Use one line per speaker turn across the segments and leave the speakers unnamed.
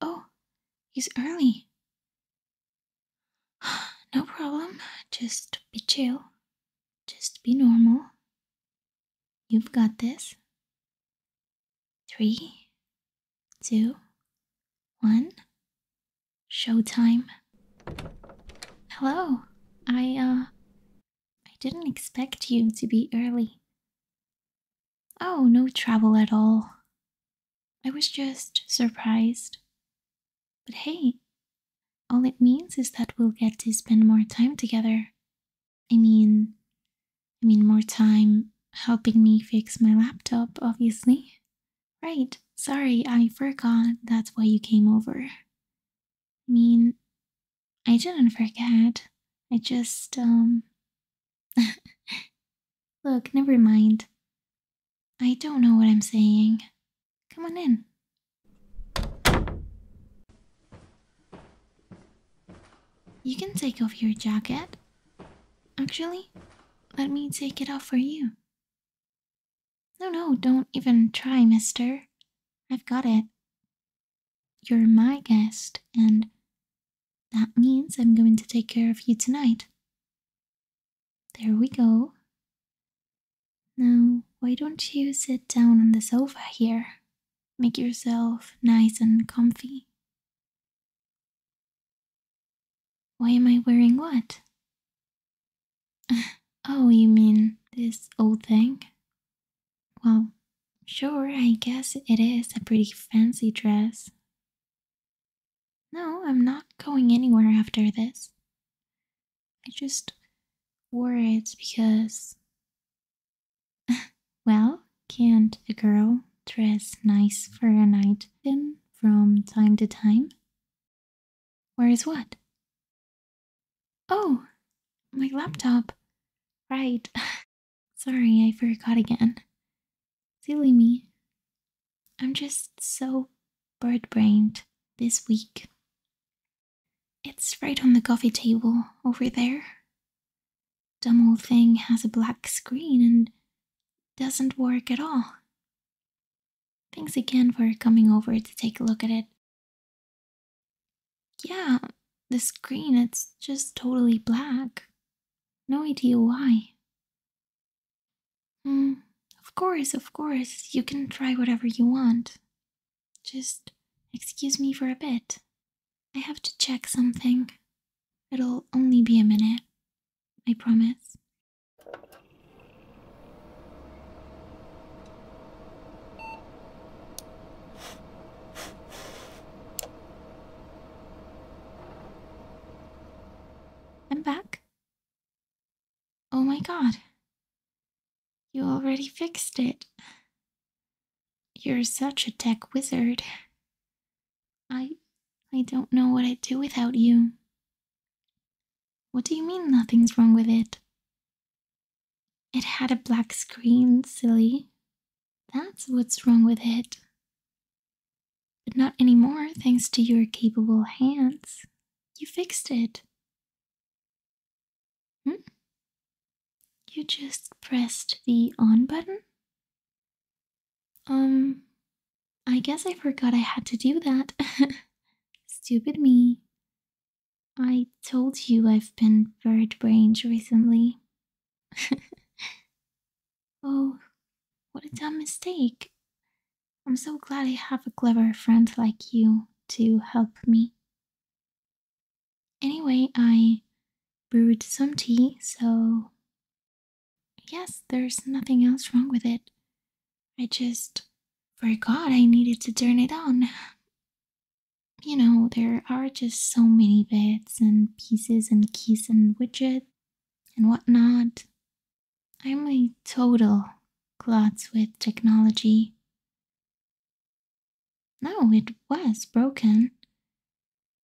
Oh, he's early. No problem. Just be chill. Just be normal. You've got this. Three, two, one. Showtime. Hello. I, uh, I didn't expect you to be early. Oh, no travel at all. I was just surprised. But hey, all it means is that we'll get to spend more time together. I mean, I mean, more time helping me fix my laptop, obviously. Right, sorry, I forgot that's why you came over. I mean, I didn't forget. I just, um. Look, never mind. I don't know what I'm saying. Come on in. You can take off your jacket. Actually, let me take it off for you. No, no, don't even try, mister. I've got it. You're my guest, and that means I'm going to take care of you tonight. There we go. Now, why don't you sit down on the sofa here? Make yourself nice and comfy. Why am I wearing what? oh, you mean this old thing? Well, sure, I guess it is a pretty fancy dress. No, I'm not going anywhere after this. I just wore it because. well, can't a girl dress nice for a night in from time to time? Where is what? Oh, my laptop. Right. Sorry, I forgot again. Silly me. I'm just so bird brained this week. It's right on the coffee table over there. Dumb old thing has a black screen and doesn't work at all. Thanks again for coming over to take a look at it yeah, the screen, it's just totally black. No idea why. Mm, of course, of course, you can try whatever you want. Just excuse me for a bit. I have to check something. It'll only be a minute, I promise. I'm back. Oh my god. You already fixed it. You're such a tech wizard. I I don't know what I'd do without you. What do you mean nothing's wrong with it? It had a black screen, silly. That's what's wrong with it. But not anymore, thanks to your capable hands. You fixed it. Hmm? You just pressed the on button? Um, I guess I forgot I had to do that. Stupid me. I told you I've been bird brained recently. oh, what a dumb mistake. I'm so glad I have a clever friend like you to help me. Anyway, I brewed some tea, so. Yes, there's nothing else wrong with it. I just forgot I needed to turn it on you know, there are just so many bits and pieces and keys and widgets and whatnot. I'm a total glot with technology. No, it was broken.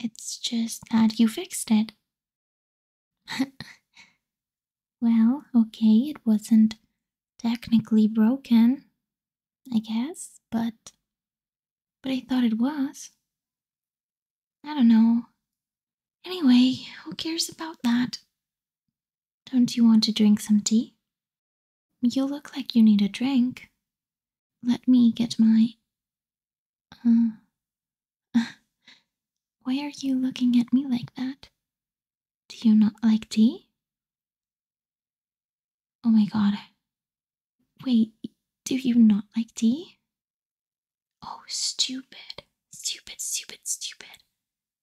It's just that you fixed it. well, okay, it wasn't technically broken, I guess, but but I thought it was. I don't know. Anyway, who cares about that? Don't you want to drink some tea? You look like you need a drink. Let me get my. Ah. why are you looking at me like that? Do you not like tea? Oh my god. Wait, do you not like tea? Oh, stupid. Stupid, stupid, stupid.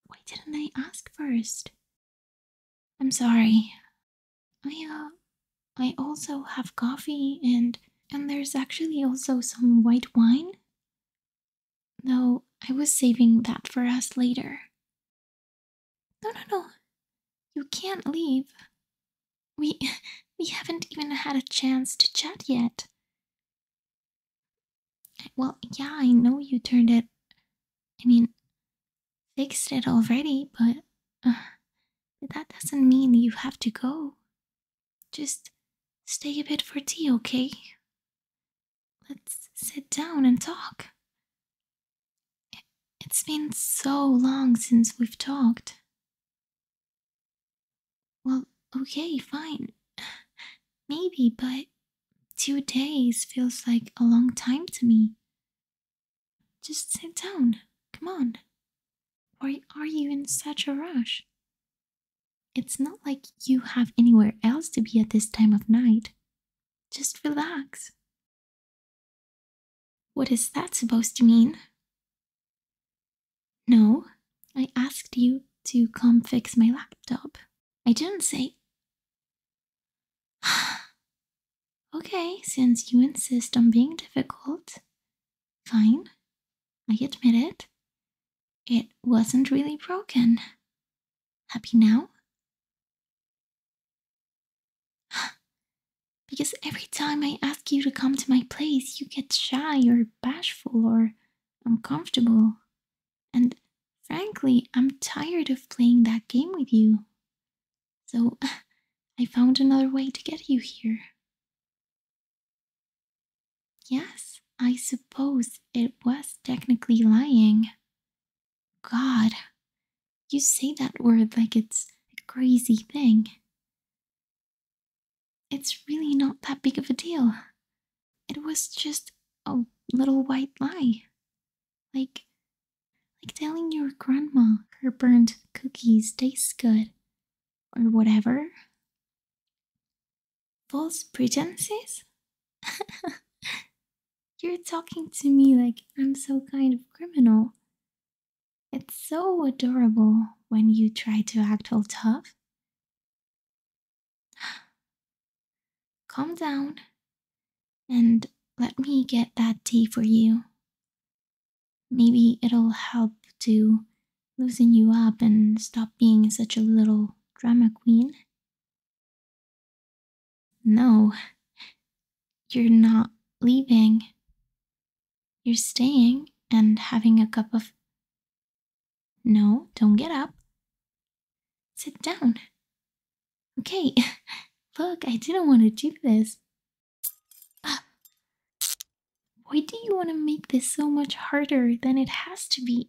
Why didn't I ask first? I'm sorry. I, uh, I also have coffee and, and there's actually also some white wine. No, I was saving that for us later. No, no, no. You can't leave. We we haven't even had a chance to chat yet. Well, yeah, I know you turned it. I mean, fixed it already, but uh, that doesn't mean you have to go. Just stay a bit for tea, okay? Let's sit down and talk. It's been so long since we've talked. Well, okay, fine. Maybe, but two days feels like a long time to me. Just sit down. Come on. Why are you in such a rush? It's not like you have anywhere else to be at this time of night. Just relax. What is that supposed to mean? No, I asked you to come fix my laptop. I didn't say. okay, since you insist on being difficult, fine. I admit it. It wasn't really broken. Happy now? because every time I ask you to come to my place, you get shy or bashful or uncomfortable. And frankly, I'm tired of playing that game with you. So I found another way to get you here. Yes, I suppose it was technically lying. God, you say that word like it's a crazy thing. It's really not that big of a deal. It was just a little white lie. Like, like telling your grandma her burnt cookies taste good, or whatever. False pretenses? You're talking to me like I'm so kind of criminal. It's so adorable when you try to act all tough. Calm down and let me get that tea for you. Maybe it'll help to loosen you up and stop being such a little drama queen. No, you're not leaving. You're staying and having a cup of. No, don't get up. Sit down. Okay, look, I didn't want to do this. Why do you want to make this so much harder than it has to be?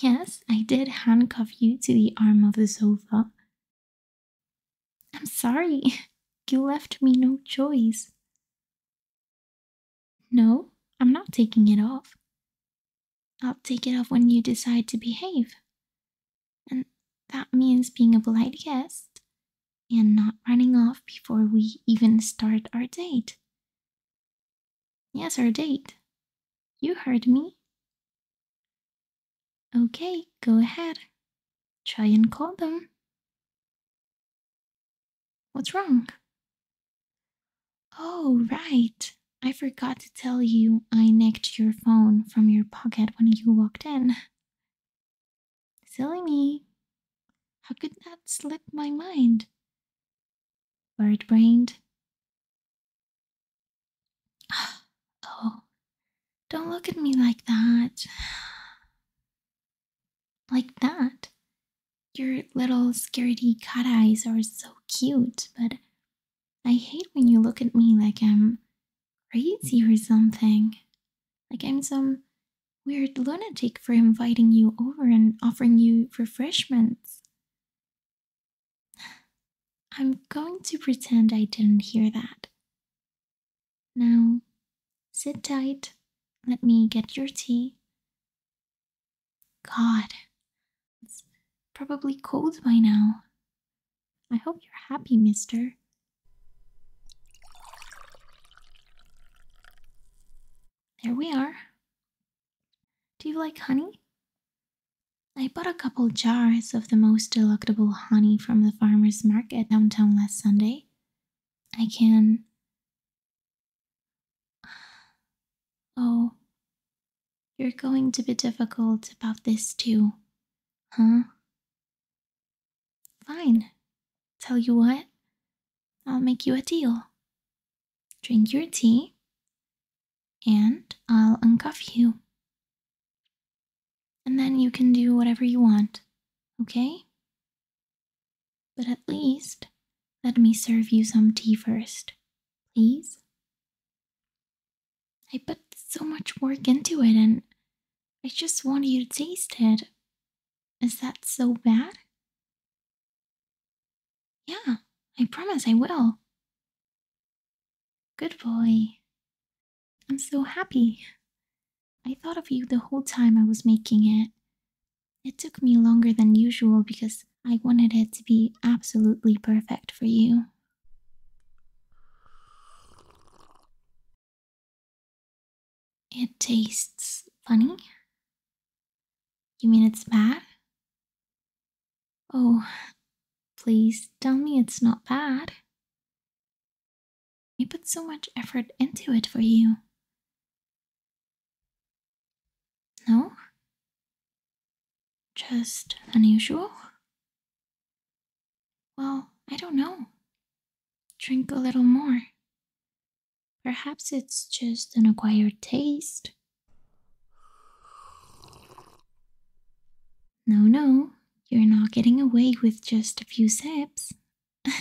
Yes, I did handcuff you to the arm of the sofa I'm sorry. You left me no choice. No, I'm not taking it off. I'll take it off when you decide to behave. And that means being a polite guest and not running off before we even start our date. Yes, our date. You heard me. Okay, go ahead. Try and call them. What's wrong? Oh, right. I forgot to tell you I nicked your phone from your pocket when you walked in. Silly me. How could that slip my mind? Bird brained. Oh, don't look at me like that. Like that. Your little scaredy cat eyes are so cute, but I hate when you look at me like I'm crazy or something. Like I'm some weird lunatic for inviting you over and offering you refreshments. I'm going to pretend I didn't hear that. Now, sit tight. Let me get your tea. God, it's probably cold by now. I hope you're happy, mister. There we are. Do you like honey? I bought a couple jars of the most delectable honey from the farmer's market downtown last Sunday. I can. Oh, you're going to be difficult about this too, huh? Fine. Tell you what, I'll make you a deal. Drink your tea, and I'll uncuff you and then you can do whatever you want, okay? But at least let me serve you some tea first, please. I put so much work into it and I just want you to taste it. Is that so bad? Yeah, I promise I will. Good boy. I'm so happy. I thought of you the whole time I was making it. It took me longer than usual because I wanted it to be absolutely perfect for you. It tastes funny? You mean it's bad? Oh, please tell me it's not bad. I put so much effort into it for you. No? Just unusual? Well, I don't know. Drink a little more. Perhaps it's just an acquired taste. No, no, you're not getting away with just a few sips.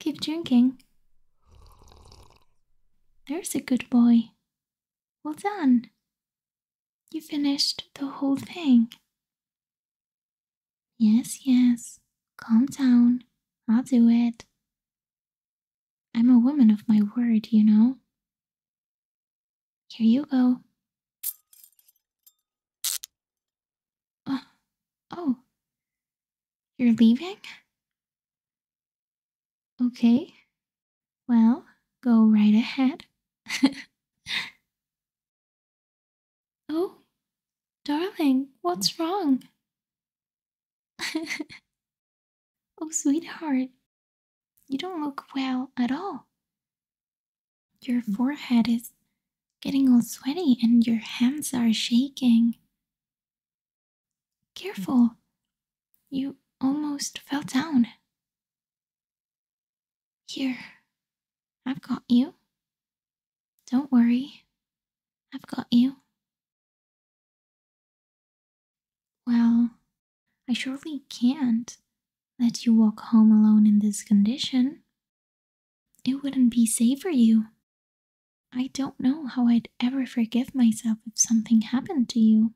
Keep drinking. There's a good boy. Well done. You finished the whole thing. Yes, yes. Calm down. I'll do it. I'm a woman of my word, you know. Here you go. Oh, oh. You're leaving? Okay. Well, go right ahead. oh, darling, what's wrong? oh, sweetheart, you don't look well at all. Your hmm. forehead is getting all sweaty and your hands are shaking. Hmm. Careful, you almost fell down. Here, I've got you. Don't worry, I've got you. Well, I surely can't let you walk home alone in this condition. It wouldn't be safe for you. I don't know how I'd ever forgive myself if something happened to you.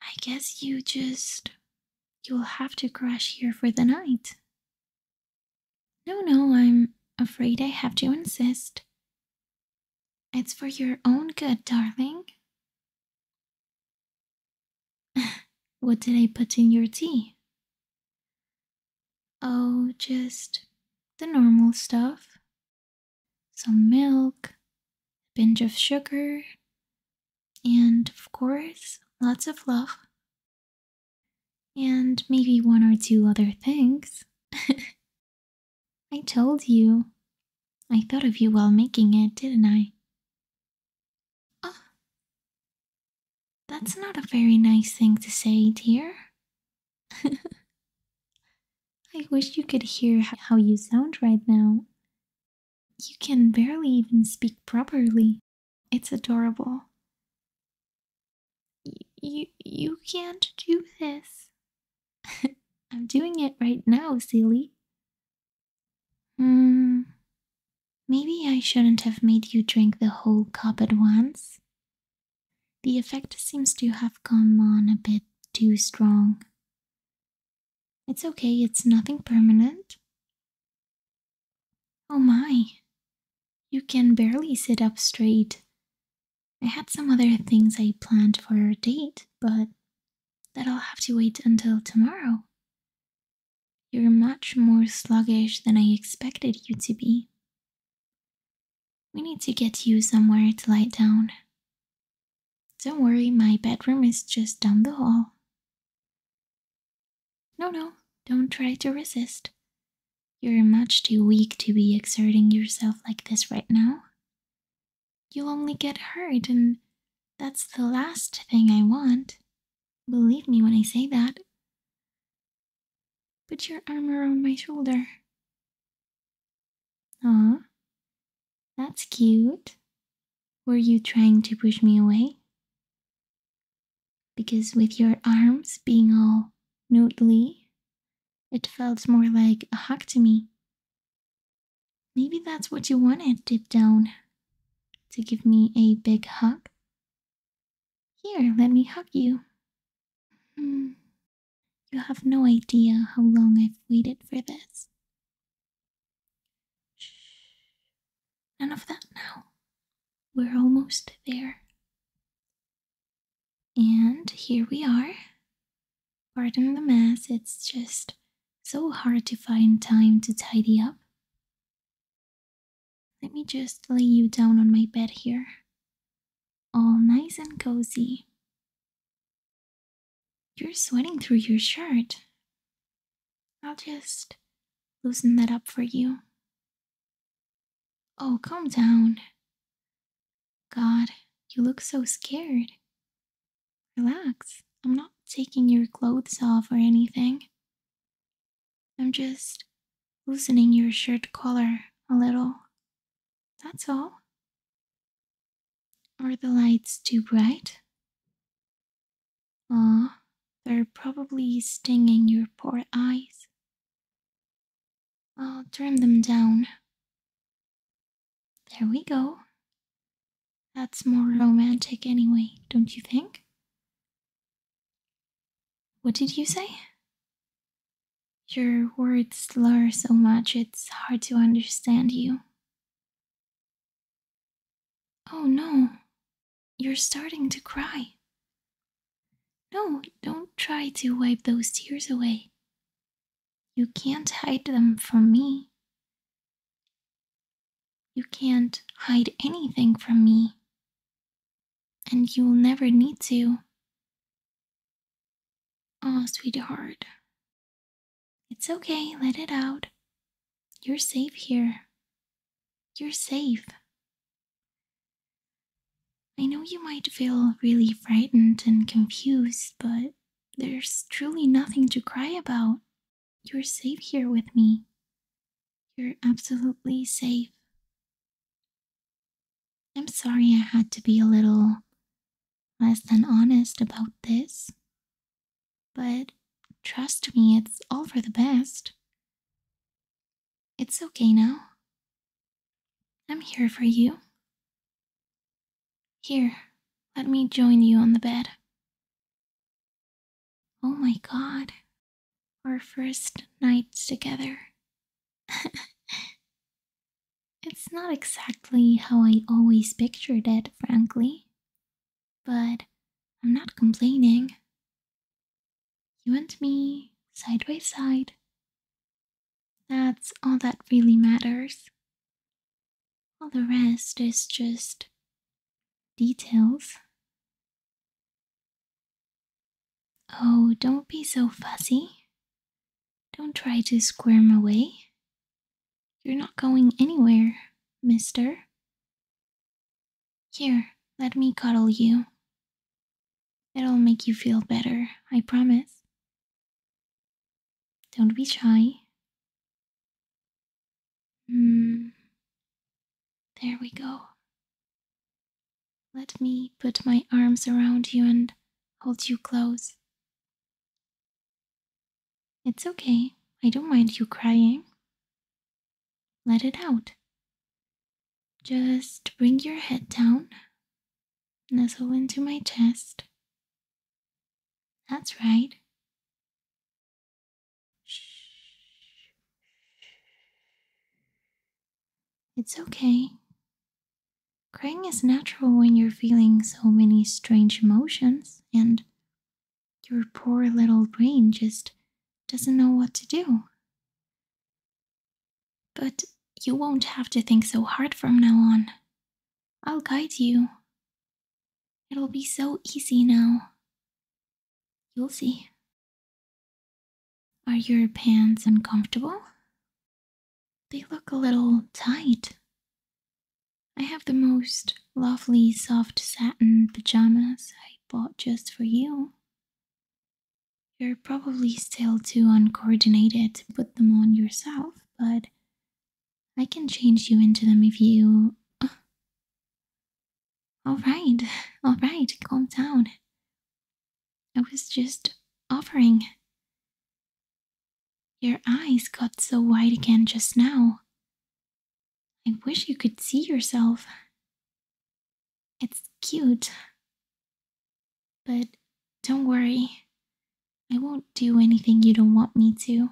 I guess you just. You'll have to crash here for the night. No, no, I'm afraid I have to insist. It's for your own good, darling. what did I put in your tea? Oh, just the normal stuff some milk, a pinch of sugar, and of course, lots of love. And maybe one or two other things. I told you. I thought of you while making it, didn't I? Oh, that's not a very nice thing to say, dear. I wish you could hear how you sound right now. You can barely even speak properly. It's adorable. you you can't do this. I'm doing it right now, silly. Hmm. Maybe I shouldn't have made you drink the whole cup at once. The effect seems to have come on a bit too strong. It's okay, it's nothing permanent. Oh my, you can barely sit up straight. I had some other things I planned for our date, but that I'll have to wait until tomorrow. You're much more sluggish than I expected you to be. We need to get you somewhere to lie down. Don't worry, my bedroom is just down the hall. No, no, don't try to resist. You're much too weak to be exerting yourself like this right now. You'll only get hurt, and that's the last thing I want. Believe me when I say that. Put your arm around my shoulder. Aw, that's cute. Were you trying to push me away? Because with your arms being all noodly, it felt more like a hug to me. Maybe that's what you wanted Dip down. To give me a big hug? Here, let me hug you. Hmm. You have no idea how long I've waited for this. Shh. None of that now. We're almost there. And here we are. Pardon the mess, it's just so hard to find time to tidy up. Let me just lay you down on my bed here. All nice and cozy. You're sweating through your shirt. I'll just loosen that up for you. Oh, calm down. God, you look so scared. Relax. I'm not taking your clothes off or anything. I'm just loosening your shirt collar a little. That's all. Are the lights too bright? Ah, they're probably stinging your poor eyes. I'll turn them down. There we go. That's more hmm. romantic anyway, don't you think? What did you say? Your words slur so much it's hard to understand you. Oh no, you're starting to cry. No, don't try to wipe those tears away. You can't hide them from me. You can't hide anything from me. And you'll never need to. Oh, sweetheart. It's okay, let it out. You're safe here. You're safe. I know you might feel really frightened and confused, but there's truly nothing to cry about. You're safe here with me. You're absolutely safe. I'm sorry I had to be a little less than honest about this, but trust me, it's all for the best. It's okay now. I'm here for you. Here, let me join you on the bed. Oh my god, our first nights together. it's not exactly how I always pictured it, frankly, but I'm not complaining. You and me, side by side. That's all that really matters. All the rest is just details. Oh, don't be so fussy. Don't try to squirm away. You're not going anywhere, mister. Here, let me cuddle you. It'll make you feel better, I promise. Don't be shy. Mm. There we go. Let me put my arms around you and hold you close. It's okay. I don't mind you crying. Let it out. Just bring your head down, nestle into my chest, that's right. It's okay. Crying is natural when you're feeling so many strange emotions and your poor little brain just doesn't know what to do. But you won't have to think so hard from now on. I'll guide you. It'll be so easy now. You'll see. Are your pants uncomfortable? They look a little tight. I have the most lovely soft satin pajamas I bought just for you. You're probably still too uncoordinated to put them on yourself, but I can change you into them if you. Uh, alright, alright, calm down. I was just offering. Your eyes got so wide again just now. I wish you could see yourself. It's cute. But don't worry, I won't do anything you don't want me to.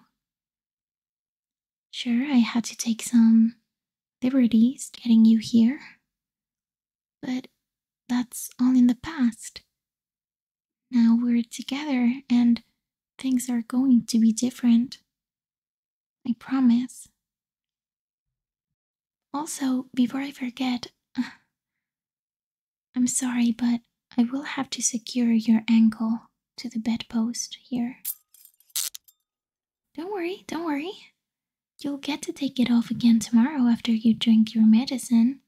Sure, I had to take some liberties getting you here, but that's all in the past. Now we're together and things are going to be different. I promise. Also, before I forget, I'm sorry, but I will have to secure your ankle to the bedpost here. Don't worry, don't worry. You'll get to take it off again tomorrow after you drink your medicine.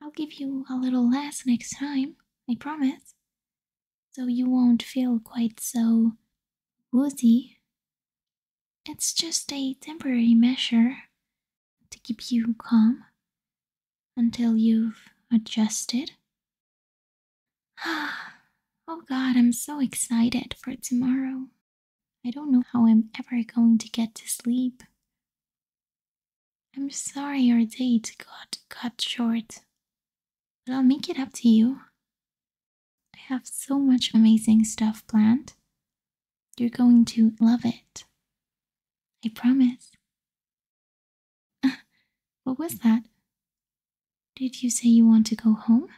I'll give you a little less next time, I promise. So you won't feel quite so woozy. It's just a temporary measure to keep you calm until you've adjusted. oh god, I'm so excited for tomorrow. I don't know how I'm ever going to get to sleep. I'm sorry our date got cut short, but I'll make it up to you. I have so much amazing stuff planned. You're going to love it. I promise. What was mm. that? Did you say you want to go home?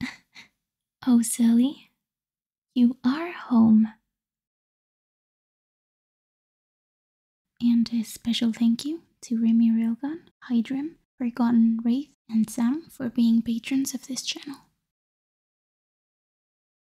oh, silly. You are home. And a special thank you to Remy Railgun, Hydrim, Forgotten Wraith, and Sam for being patrons of this channel.